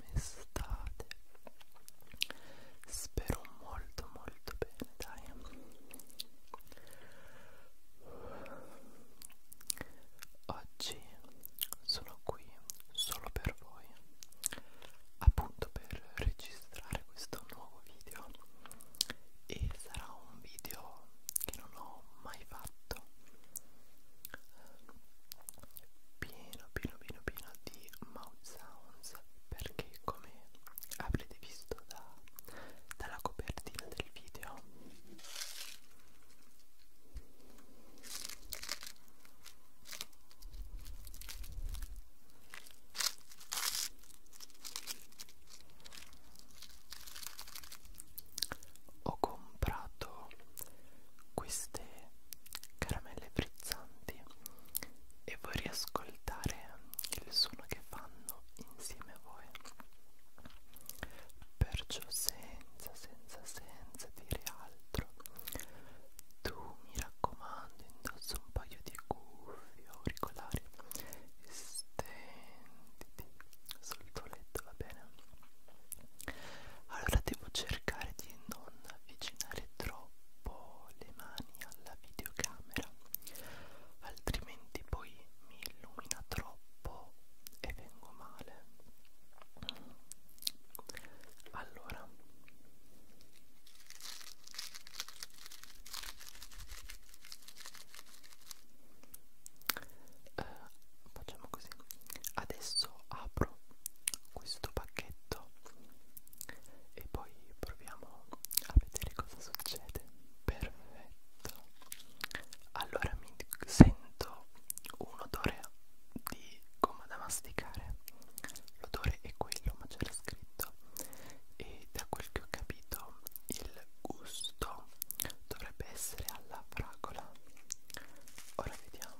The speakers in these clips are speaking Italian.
come state? Spero molto molto bene, dai. Oggi sono qui solo per voi, appunto per registrare questo nuovo video e sarà un video che non ho mai fatto pieno pieno pieno pieno di mouth sounds perché come avrete visto da, dalla copertina del video ho comprato queste caramelle frizzanti e vorrei ascoltare il suono che fanno insieme a voi perciò senza senza senza dire altro tu mi raccomando indossa un paio di cuffie auricolari e stenditi sul tuo letto va bene allora devo cercare di non avvicinare troppo le mani alla videocamera altrimenti poi mi illumina troppo e vengo male allora eh, facciamo così adesso apro questo pacchetto e poi proviamo a vedere cosa succede perfetto allora mi sento un odore di gomma da masticare l'odore è quello ma c'era scritto e da quel che ho capito il gusto dovrebbe essere alla fragola ora vediamo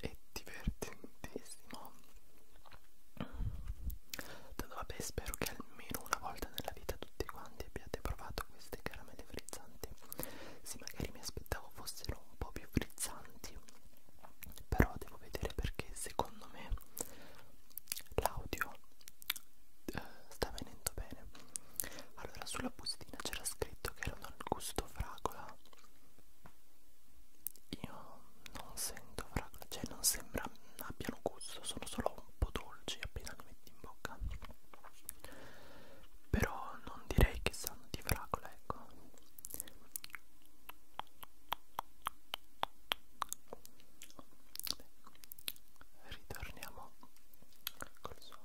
è divertentissimo Tanto vabbè spero che almeno una volta nella vita tutti quanti abbiate provato queste caramelle frizzanti Sì magari mi aspettavo fossero un po' più frizzanti Però devo vedere perché secondo me l'audio eh, sta venendo bene Allora sulla bustina c'era scritto che erano al gusto fragola io non sento fragola, cioè non sembra abbiano gusto, sono solo un po' dolci appena li metti in bocca però non direi che sanno di fragola, ecco ritorniamo col suono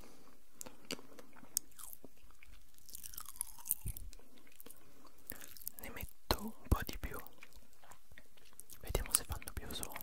ne metto un po' di più vediamo se fanno più suono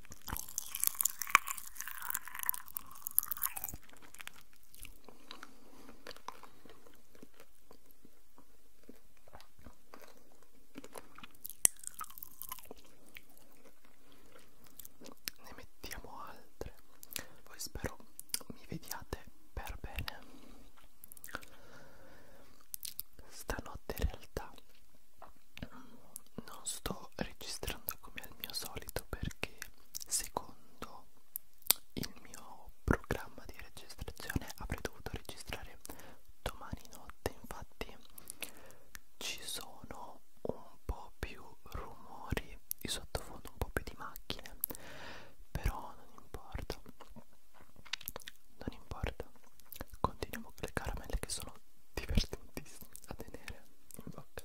ne mettiamo altre poi spero mi vediate per bene stanotte in realtà non sto registrando come al mio solito perché secondo il mio programma di registrazione avrei dovuto registrare domani notte infatti ci sono un po' più rumori di sottofondo un po' più di macchine però non importa non importa continuiamo con le caramelle che sono divertentissime a tenere in bocca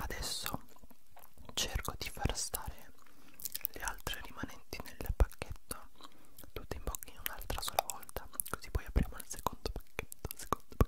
Adesso cerco di far stare le altre rimanenti nel pacchetto tutte in bocca in un'altra sola volta, così poi apriamo il secondo pacchetto, secondo pacchetto.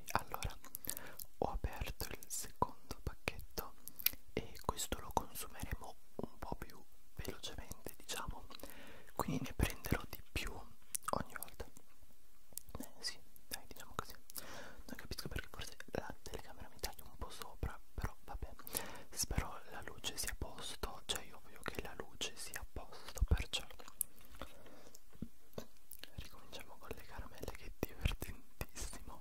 allora ho aperto il secondo pacchetto e questo lo consumeremo un po' più velocemente diciamo quindi ne prenderò di più ogni volta eh, sì dai diciamo così non capisco perché forse la telecamera mi taglia un po' sopra però vabbè spero la luce sia a posto cioè io voglio che la luce sia a posto perciò ricominciamo con le caramelle che che è divertentissimo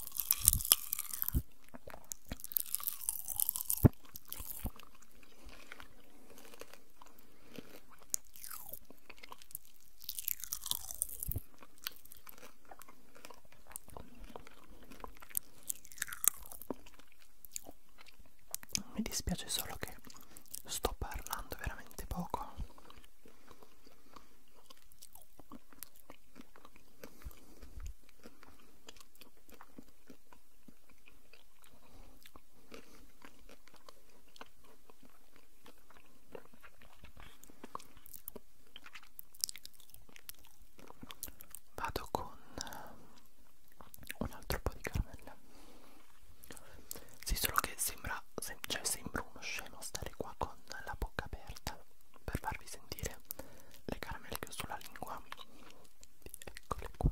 Mi dispiace solo che sto parlando veramente poco Vado con un altro po' di caramelle. Sì, solo che sembra, sem cioè sembra uno scemo stare qua con la bocca aperta per farvi sentire le caramelle che ho sulla lingua eccole qua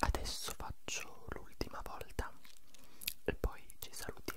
Adesso faccio l'ultima volta e poi ci salutiamo.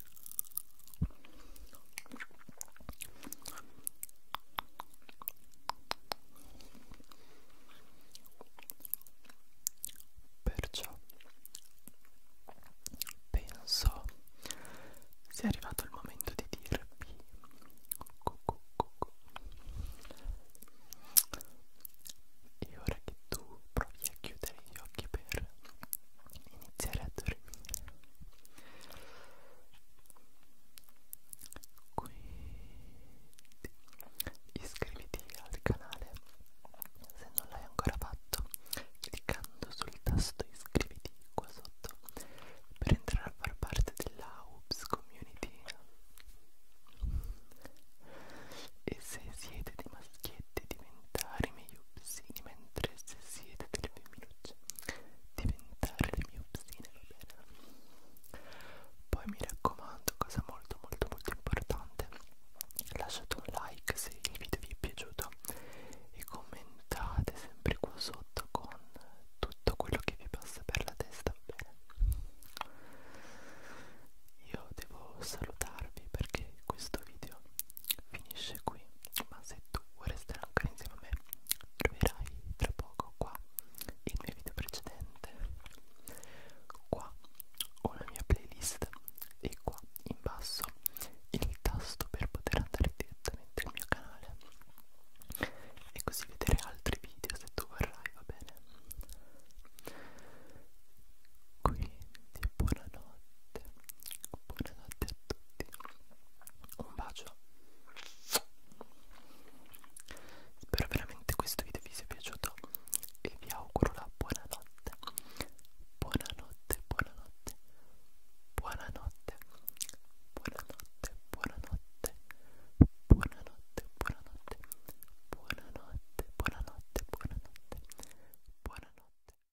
Perciò penso sia arrivato il momento di dirvi e ora che tu provi a chiudere gli occhi per iniziare a dormire quindi iscriviti al canale se non l'hai ancora fatto cliccando sul tasto iscriviti qua sotto per entrare a far parte della UBS community e se siete dei maschietti diventare miopsini mentre se siete delle femminucce diventare le miopsine va bene poi mi raccomando cosa molto molto molto importante lasciate un like se il video vi è piaciuto e commentate sempre qua sotto con tutto quello che vi passa per la testa va bene io devo salutarvi perché questo video finisce qui ma se tu vuoi restare ancora insieme a me troverai tra poco qua il mio video precedente qua ho la mia playlist e qua in basso il tasto per poter andare direttamente al mio canale e così vedere altri video se tu vorrai va bene quindi buonanotte buonanotte tutti un bacio spero veramente questo video vi sia piaciuto e vi auguro la buonanotte buonanotte buonanotte buonanotte buonanotte buonanotte buonanotte buonanotte buonanotte buonanotte buonanotte buonanotte